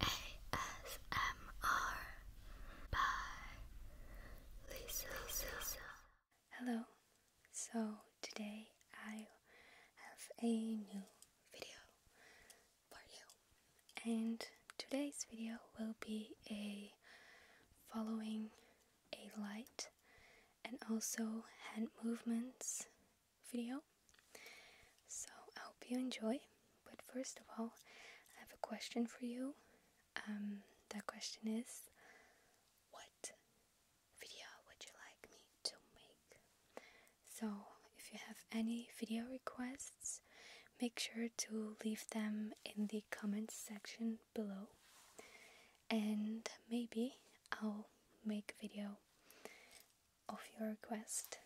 ASMR by Lisa. Lisa. Hello. So today I have a new video for you, and today's video will be a following a light and also hand movements video so I hope you enjoy. But first of all, I have a question for you. Um, that question is What video would you like me to make? So if you have any video requests, make sure to leave them in the comments section below. And maybe I'll make a video of your request.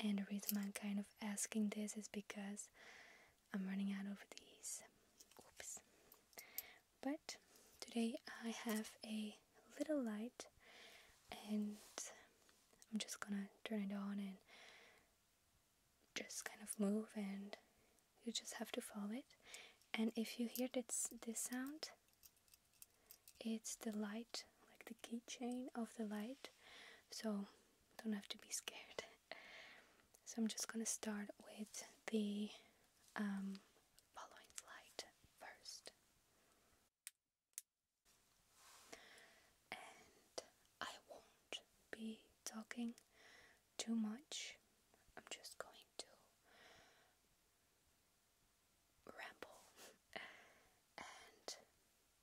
And the reason I'm kind of asking this is because I'm running out of these. Oops. But today I have a little light and I'm just gonna turn it on and just kind of move and you just have to follow it. And if you hear this, this sound, it's the light like the keychain of the light so don't have to be scared so i'm just gonna start with the um, following light first and i won't be talking too much i'm just going to ramble and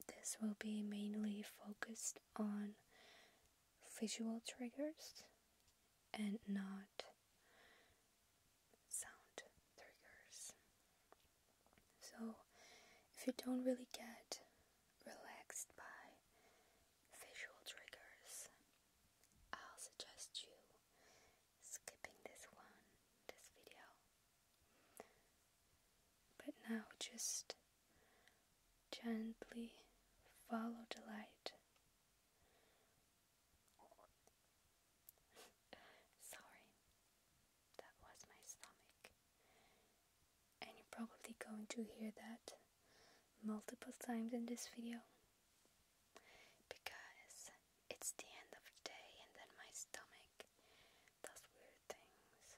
this will be mainly focused on visual triggers and not sound triggers. So, if you don't really get relaxed by visual triggers, I'll suggest you skipping this one, this video, but now just gently follow the light. Sorry, that was my stomach. And you're probably going to hear that multiple times in this video because it's the end of the day and then my stomach does weird things.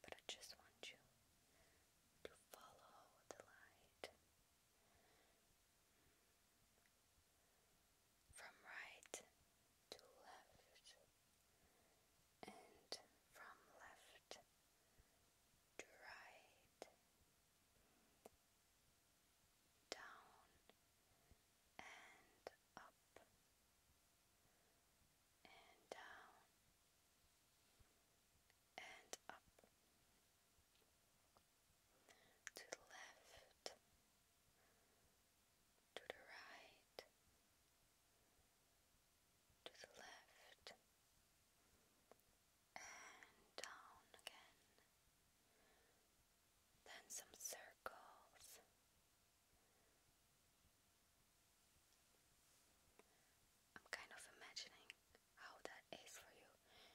But I just want you to follow the light from right to left and from left to right down and up and down and up to the left to the right to the left and down again then some circles. I'm kind of imagining how that is for you.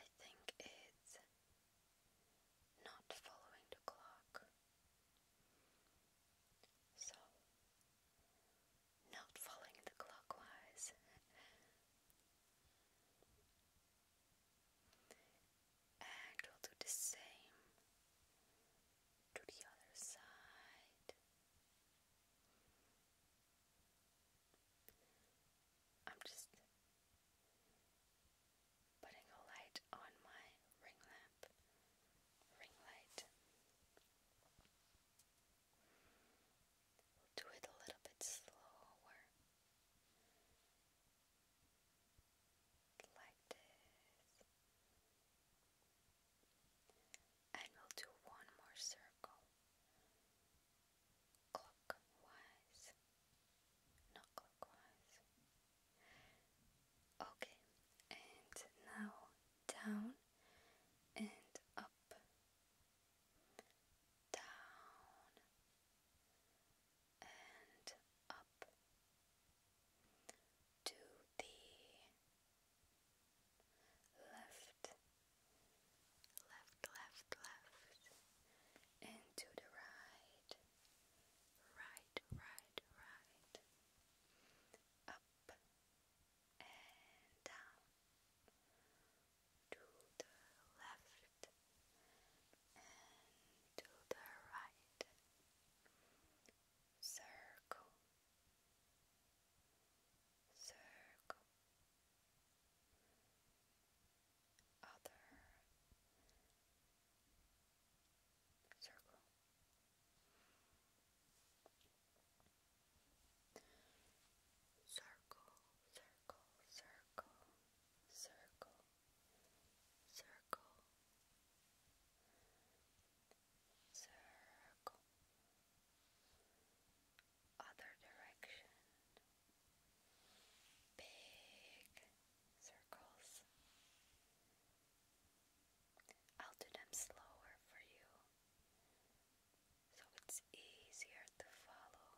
I think it's not following the clock. So, not following the clockwise and we'll do the same to the other side. I'm just putting a light on my ring lamp, ring light. do it a little bit slower like this, and we'll do one more circle clockwise, not clockwise. Okay, and now down and up, down, and up to the left, left, left, left, and to the right, right, right, right, up and down to the left and to the right. Circle, circle, other circle. Circle, circle, circle, circle, circle, circle, other direction, big circles. I'll do them slower for you so it's easier to follow.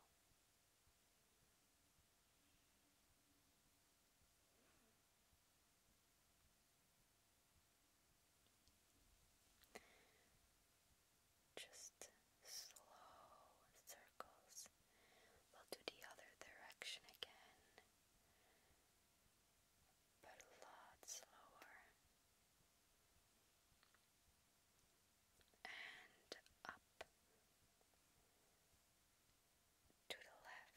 Just slow circles. We'll do the other direction again, but a lot slower and up to the left, left, left, left, and to the right,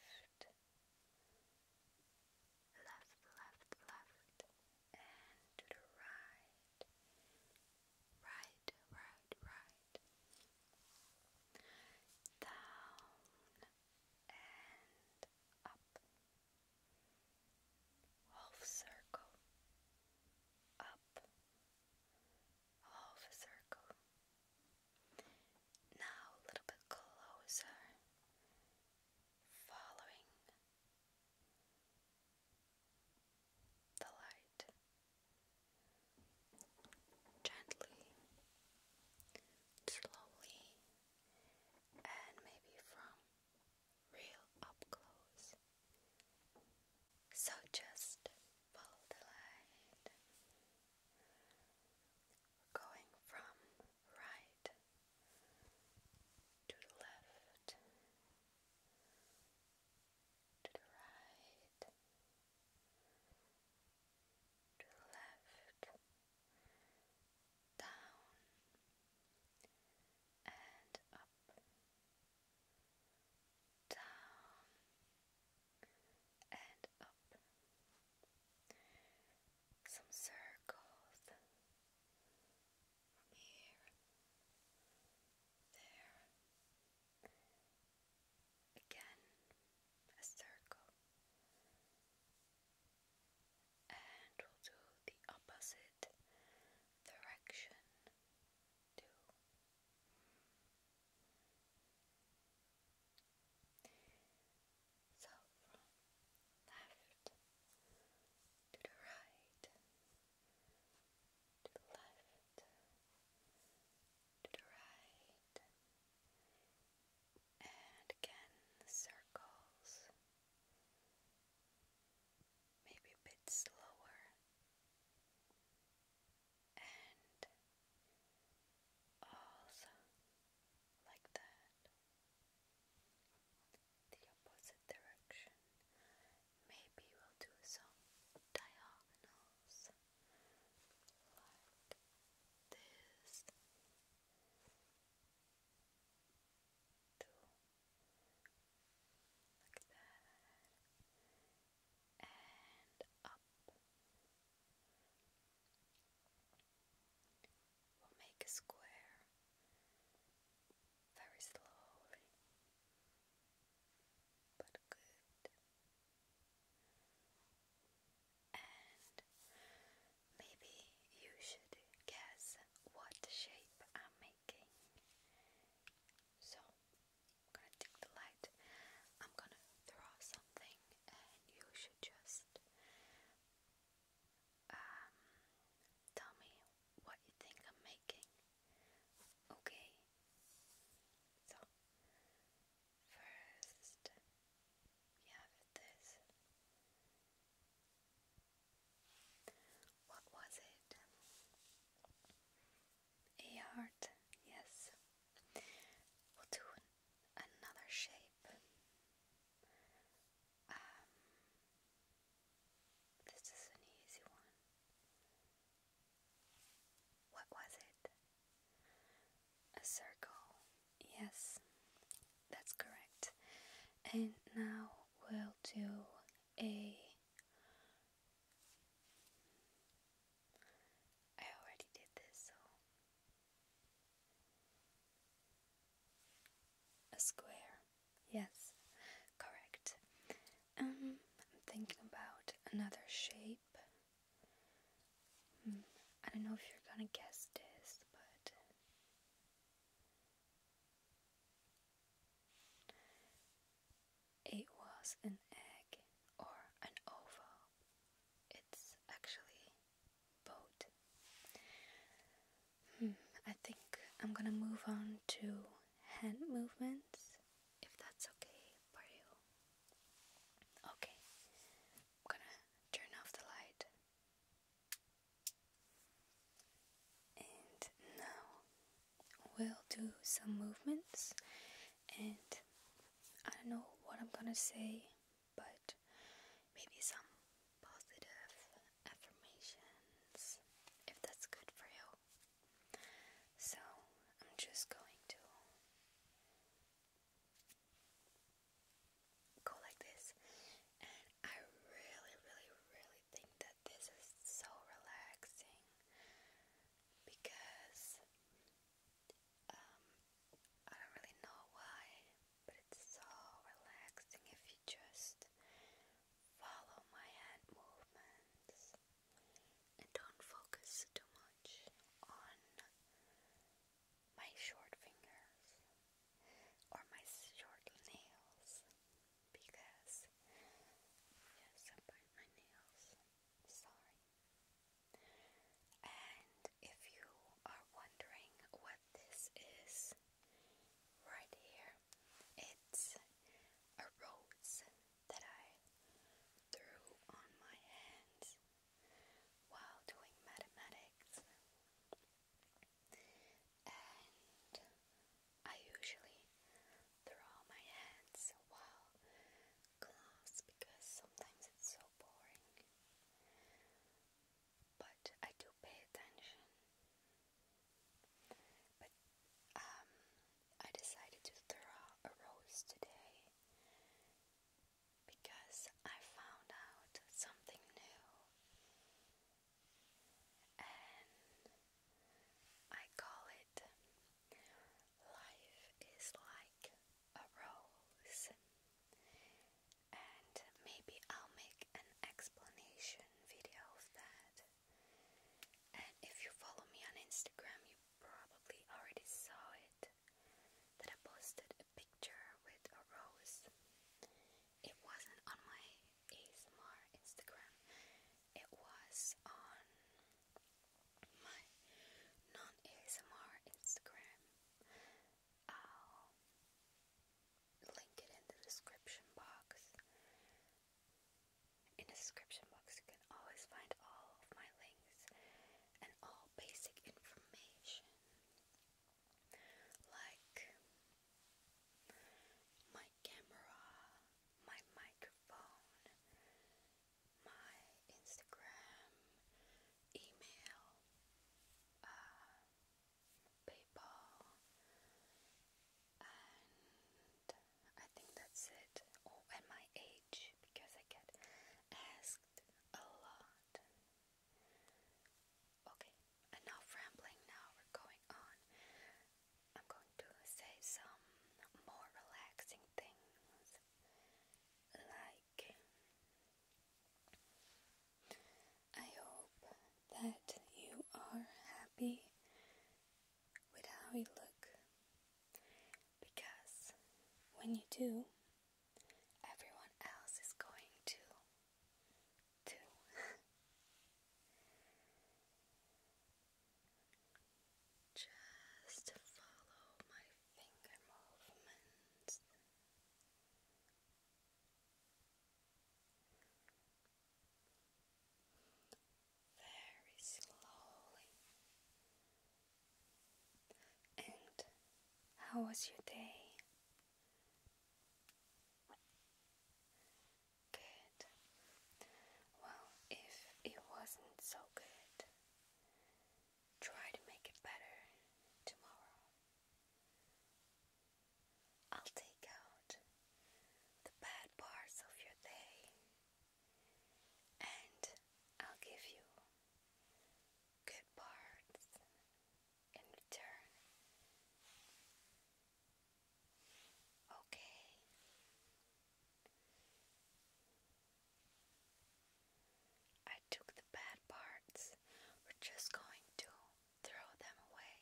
right, right, right, down and up, half circle, up half a circle. Now a little bit closer, following the light gently, slowly, and maybe from real up close. So just follow the Going from right to the left to the right to the left down and up down and up. Some circles here, there, again a circle, and we'll do the opposite direction too. So from left to the right, to the left, to the right, and again circles, maybe a bit slower and also like that. The opposite direction. Maybe we'll do some diagonals like this. Two. Like that and up. We'll make a square very slowly, but good. And maybe you should guess what shape I'm making. So I'm gonna take the light. I'm gonna throw something, and you should just um, tell me what you think I'm making. Okay. So first we have this. What was it? A heart, yes. We'll do another shape. Um, this is an easy one. What was it? A circle, yes, that's correct. And now we'll do a I already did this, so a square. Yes, correct. Um, I'm thinking about another shape. Hmm, I don't know if you're gonna guess this, but it was an egg or an oval. It's actually both. Hmm, I think I'm gonna move on to hand movements if that's okay for you. Okay, I'm gonna turn off the light. And now we will do some movements and I don't know what I'm gonna say, but maybe some positive affirmations if that's good for you. So I'm just going to go like this, and I really, really, really think that this is so relaxing because um, I don't really know why, but it's so relaxing if you just follow my hand movements and don't focus too much on my short fingers or my short nails because yes, I bite my nails sorry. And if you are wondering what this is, right here, it's a rose that I threw on my hands while doing mathematics. And I usually throw my hands while class because sometimes it's so boring. But I do pay attention. But um, I decided to throw a rose today because I found out something new and I call it Life is like a rose, and maybe I'll make an explanation video of that. And if you follow me on Instagram, you probably already saw it that I posted a picture with a rose. It wasn't on my ASMR Instagram, it was on my non ASMR Instagram. I'll link it in the description box. In the description box, you can always find all of my links and all basic information like my camera, my microphone, my Instagram, email, uh, PayPal, and I think that's it. Oh, and my age because I get asked a lot. Okay, enough rambling now, we're going on. I'm going to say some more relaxing things like I hope that you are happy with how you look because when you do everyone else is going to too Just follow my finger movements. Very slowly. And how was your day? Good. Well, if it wasn't so good, try to make it better tomorrow. I'll take out the bad parts of your day and I'll give you good parts in return. Okay. I took the bad parts, we're just going to throw them away,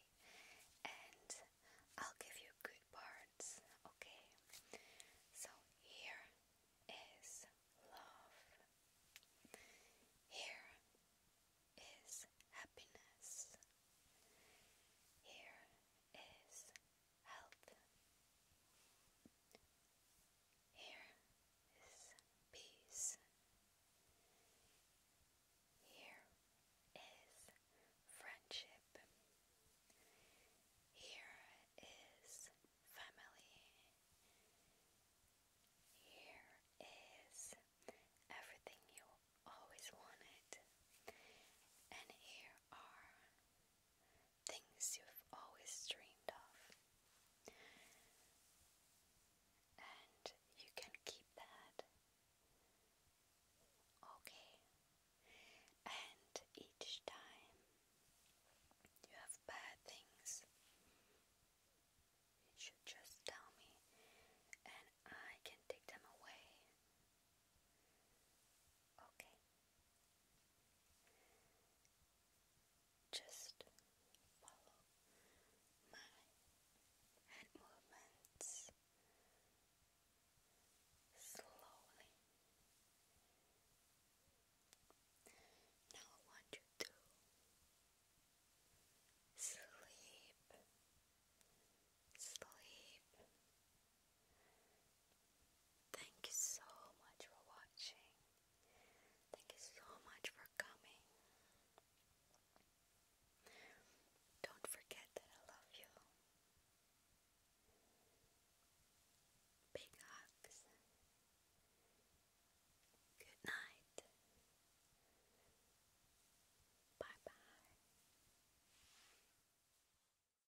and I'll give you good parts, okay? So here is love, here is happiness, here is health. Here is peace. Here is friendship. Here is family. Here is everything you always wanted. And here are things you've always dreamed of. And you can keep that. Okay. And each time you have bad things, you should just tell me, and I can take them away. Okay. Just follow my movements slowly. Now I want you to sleep, sleep, Thank you so much for watching. Thank you so much for coming. Don't forget that I love you. Big hugs. Good night. Bye bye.